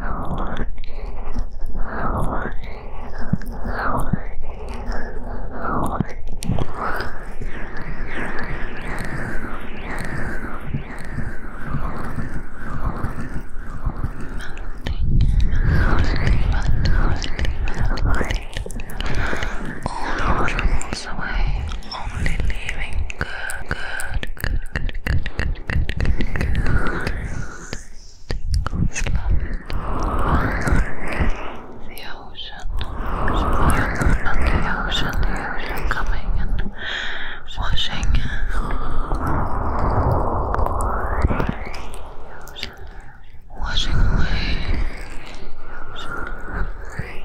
All the troubles away, only leaving good, good, the ocean, and the ocean, the ocean coming and washing. Washing away. Washing away.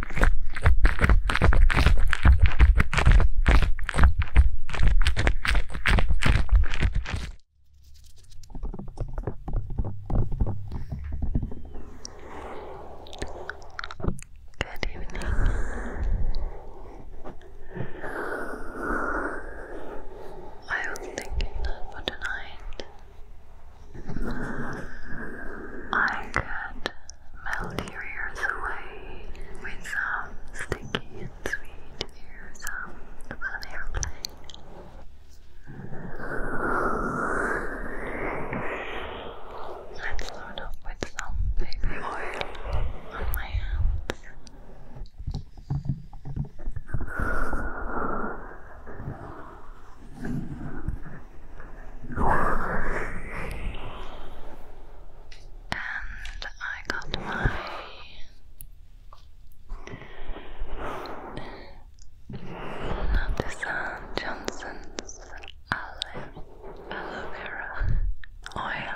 Good evening. I was thinking that for tonight I could melt your ears away with some sticky and sweet ear sounds Let's load up with some baby oil on my hands. And I got my Natizan Johnson's olive aloe vera oil.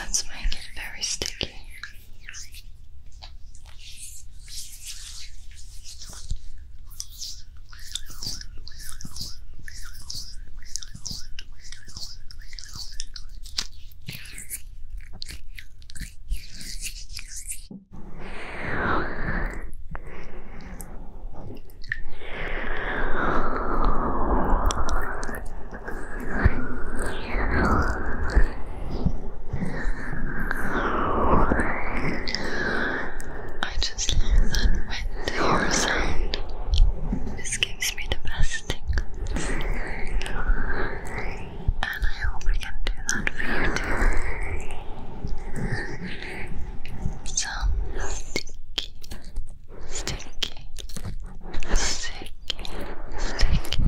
Let's make it very sticky. I just love that wet hair sound. This gives me the best thing and I hope we can do that for you too. Some sticky, sticky, sticky, sticky, sticky,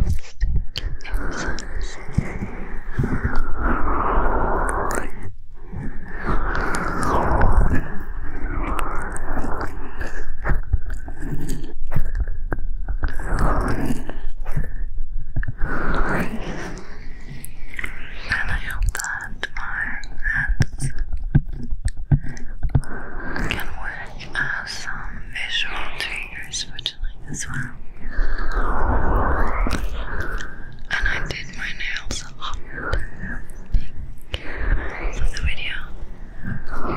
sticky and I hope that my hands can work as some visual triggers for you as well. And I did my nails a for the video.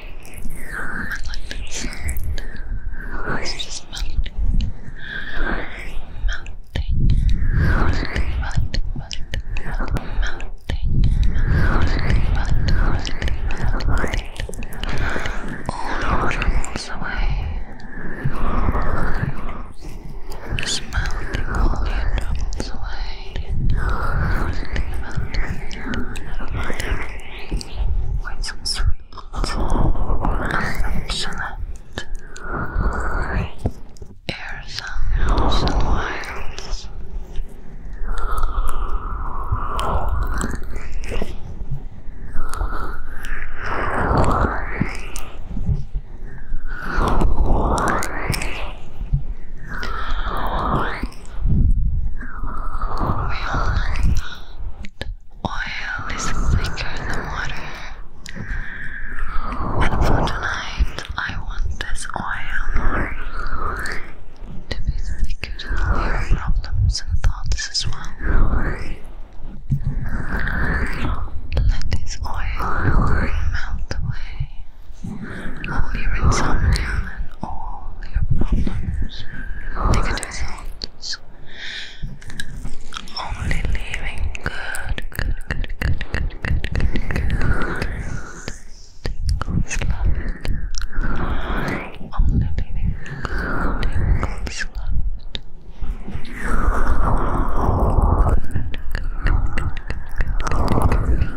like this. It's just melting, melting, melting, melting, melting, melting, melting, melting, melting, all the troubles away. Just melting all your troubles away. Melting, melting, melting with some sweet, affectionate air sounds and wines. Oil is thicker than water. And for tonight, I want this oil to be thicker than problems and thoughts as well. Let this oil melt away all your insomnia and all your problems, negative thoughts, only leaving good, good, good, good, good, good, good, good, tingles left, only leaving good, good, good, good, good, good, good,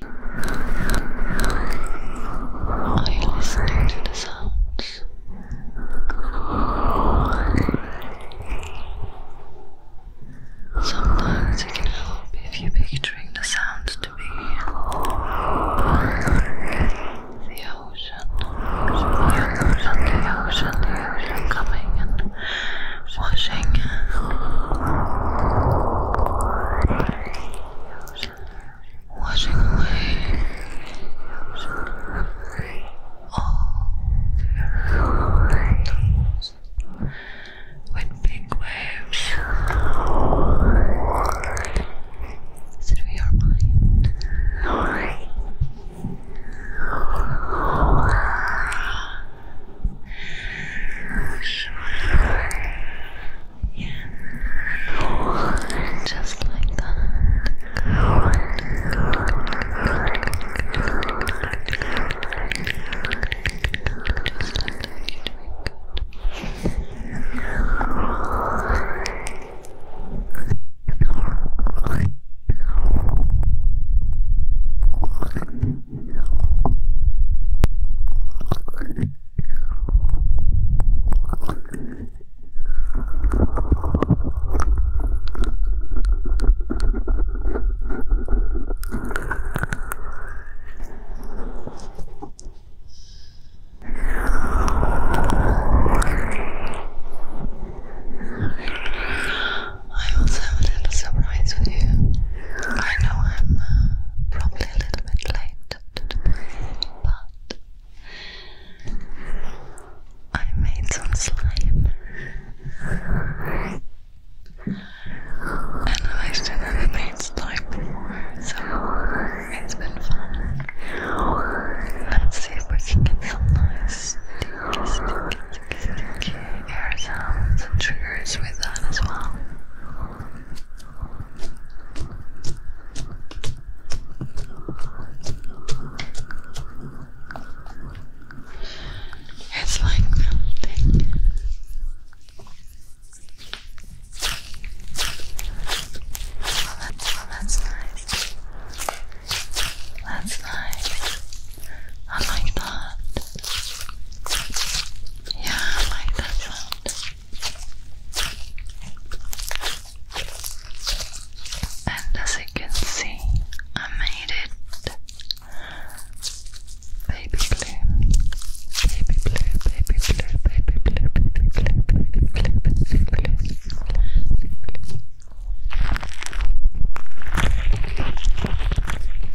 Are you listening to the sounds? Sometimes it can help if you're picturing the sounds to be the ocean, the ocean, the ocean, the ocean coming and washing washing away all those with big waves through your mind. Yeah. Just like that. Just like that. You're doing good. I also have a little surprise for you. I know I'm uh, probably a little bit late, but I made some slime and I haven't made slime before, so it's been fun. Let's see if we can get some nice sticky, air sounds and triggers with that as well. It's like melting. Well, that's, that's nice. That's nice. I like that. Yeah, I like that sound. And as you can see, I made it baby blue, baby blue, baby blue, baby blue, baby blue, baby blue, baby blue, baby blue, baby blue.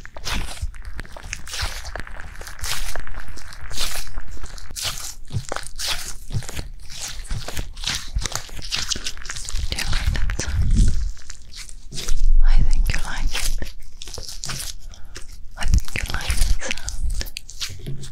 Do you like that sound? I think you like it. I think you like that sound.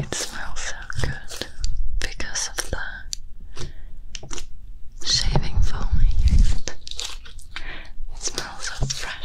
It smells so good because of the shaving foam It smells so fresh.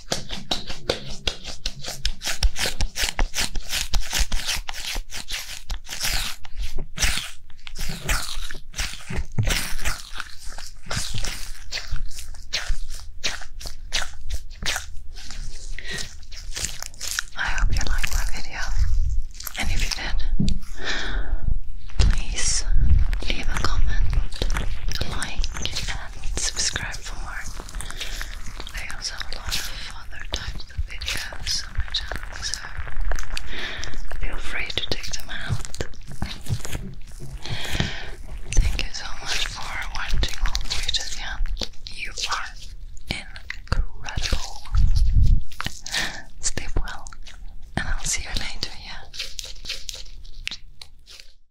I hope you liked my video, and if you did, please leave a comment, like, and subscribe for more. I also have other types of videos so feel free to take them out. Thank you so much for watching all the way to the end. You are incredible. Sleep well, and I'll see you later, yeah?